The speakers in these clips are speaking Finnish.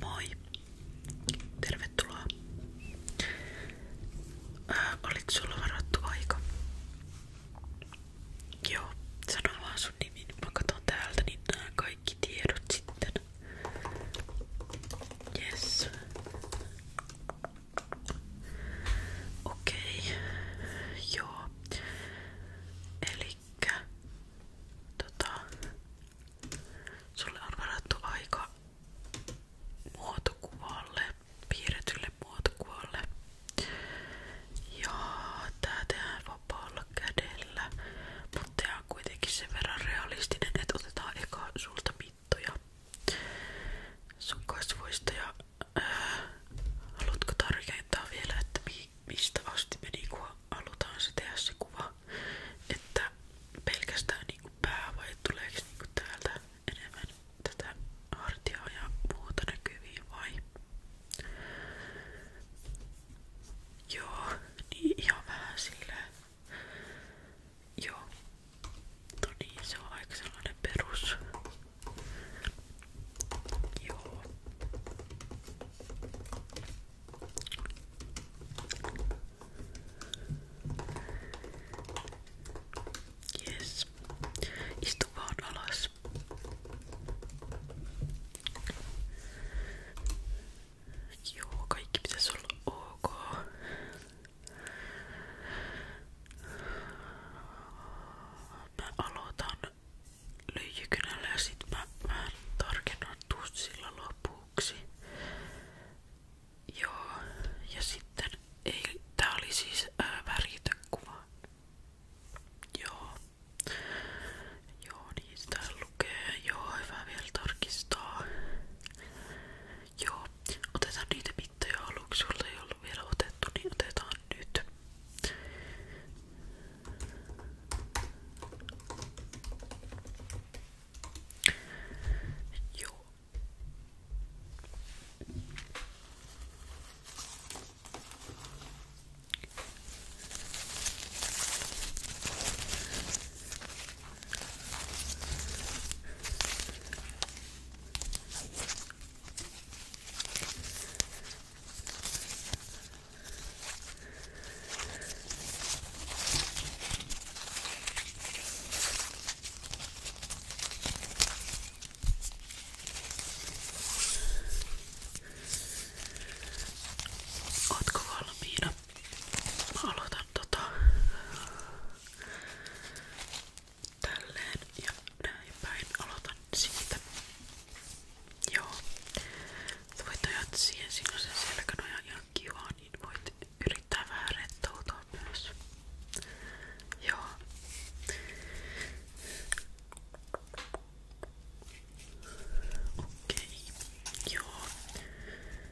Moi. Tervetuloa. Ää, äh, oliko sulla varattu aika? Joo, sano vaan sun nimi, niin mä katson täältä, niin nää kaikki tiedot sitten. Yes. Okei. Joo. Elikkä tota, sulle on varattu aika muotokuvalle, piirretylle muotokuvalle. Ja tää tehdään vapaalla kädellä, mutta tää on kuitenkin sen verran realistinen, että otetaan eka sulta mittoja sun kasvoista ja Haluatko tarkentaa vielä, että mistä asti me niinku halutaan se tehdä se kuva? Että pelkästään niinku pää vai tuleeko niinku täältä enemmän tätä hartiaa ja muuta näkyviin vai? Joo, niin ihan vähän silleen. Joo, No niin, se on aika sellainen perus. Joo. Yes. Istu vaan alas. Joo, kaikki pitäisi olla ok. Mä aloitan lyijykynällä ja sit mä vähän tarkennan tussilla lopuksi. Joo, ja sitten ei, tää oli siis ää, väritön kuva. Joo. Joo, niin sitä lukee. Joo, hyvä vielä tarkistaa. Joo, otetaan niitä mittoja aluksi, jolla ei ollut vielä otettu, niin otetaan nyt. Joo. Ootko valmiina? Mä aloitan tota tälleen ja näin päin. Aloitan siitä. Joo. Sä voit ajat siihen, siinä on se selkänoja ihan kiva, niin voit yrittää vähän rentoutua myös. Joo. Okei. Joo.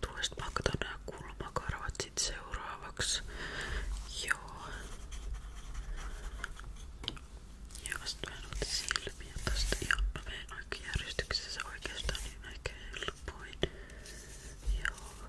Tuosta mä katson nää kulmakarvat sit seuraavaksi. Joo. Ja sit mä en ota silmiä tosta. Joo, mä menen oikein järjestyksessä oikeastaan niin aika helpoin. Joo.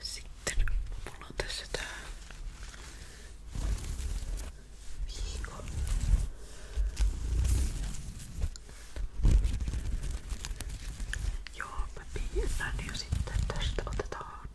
Sitten mulla on tässä tää viikon Joo, mä piirrän ja sitten tästä otetaan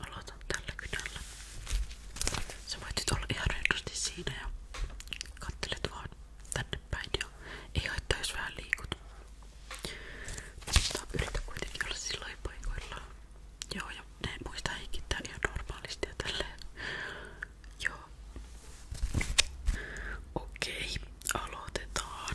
Aloitan tällä kynällä. Sä voit nyt olla ihan rennosti siinä ja kattelet vaan tänne päin ja ei haittaa jos vähän liikut. Mutta yritä kuitenkin olla silloin paikoillaan. Joo ja ne muista hengittää ihan normaalisti ja tälleen. Joo. Okei, aloitetaan.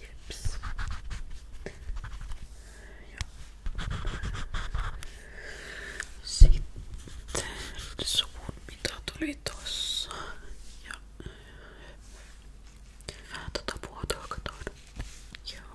Jeps. Sitten suvun mitä tuli tossa. Ja vähän tota puotoa katoin. Joo.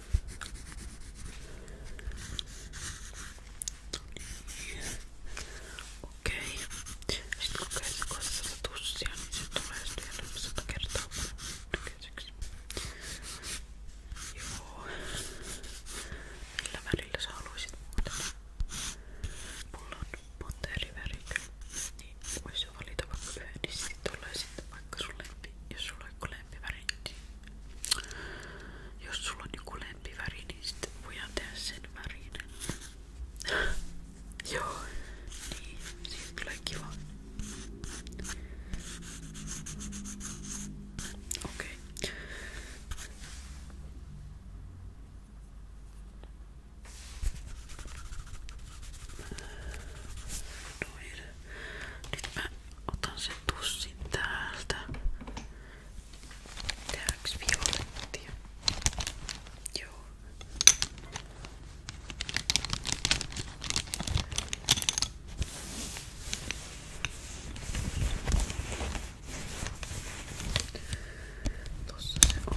Okei. Okay. Sitten kun käytät kohdassa tussia, niin se tulee sitten sata kertaa näköiseksi. Joo. Millä värillä sä haluaisit muutella? Mulla on monta eri väriä, niin voisi valita vaikka yhden, niin sitten tulee sitten vaikka sun lempi, jos sulla on joku lempiväri väriin. Jos sulla on joku lempiväri, niin sitten voidaan tehdä sen värinen. Joo, niin, siitä tulee kiva. Okei. Okay. Noin. Nyt mä Otan sen tussin täältä. Tehdäänkö violettia? Joo. Tossa se on.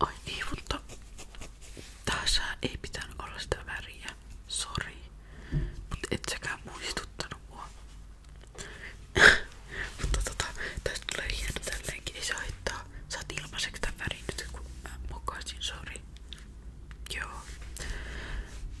Ai niin, mutta tässä ei pitänyt olla sitä väriä. Sori. Mut et säkään muistuttanut mua. mutta tota, tästä tulee hieno tälleenkin. Ei se haittaa. Saat ilmaiseksi tän värin nyt kun mä mokasin, sori. Joo.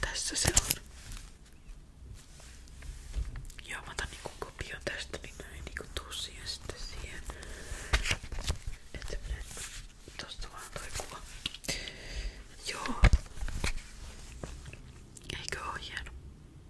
Tässä se on. Joo, mä otan niinku kopion tästä, niin mä en niinku tuu siihen sitten siihen. Että menee niinku tosta vaan toi kuva. Joo. Eikö oo hieno?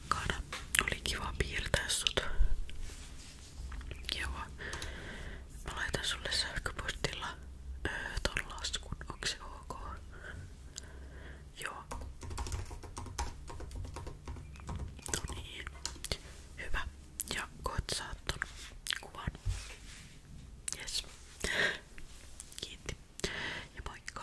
asiakkaana. Oli kiva piirtää sut. Joo. Mä laitan sulle sähköpostilla öö, ton laskun. Onko se ok? Joo. No niin. Hyvä. Ja koet saat ton kuvan. Yes. Kiitti. Ja moikka.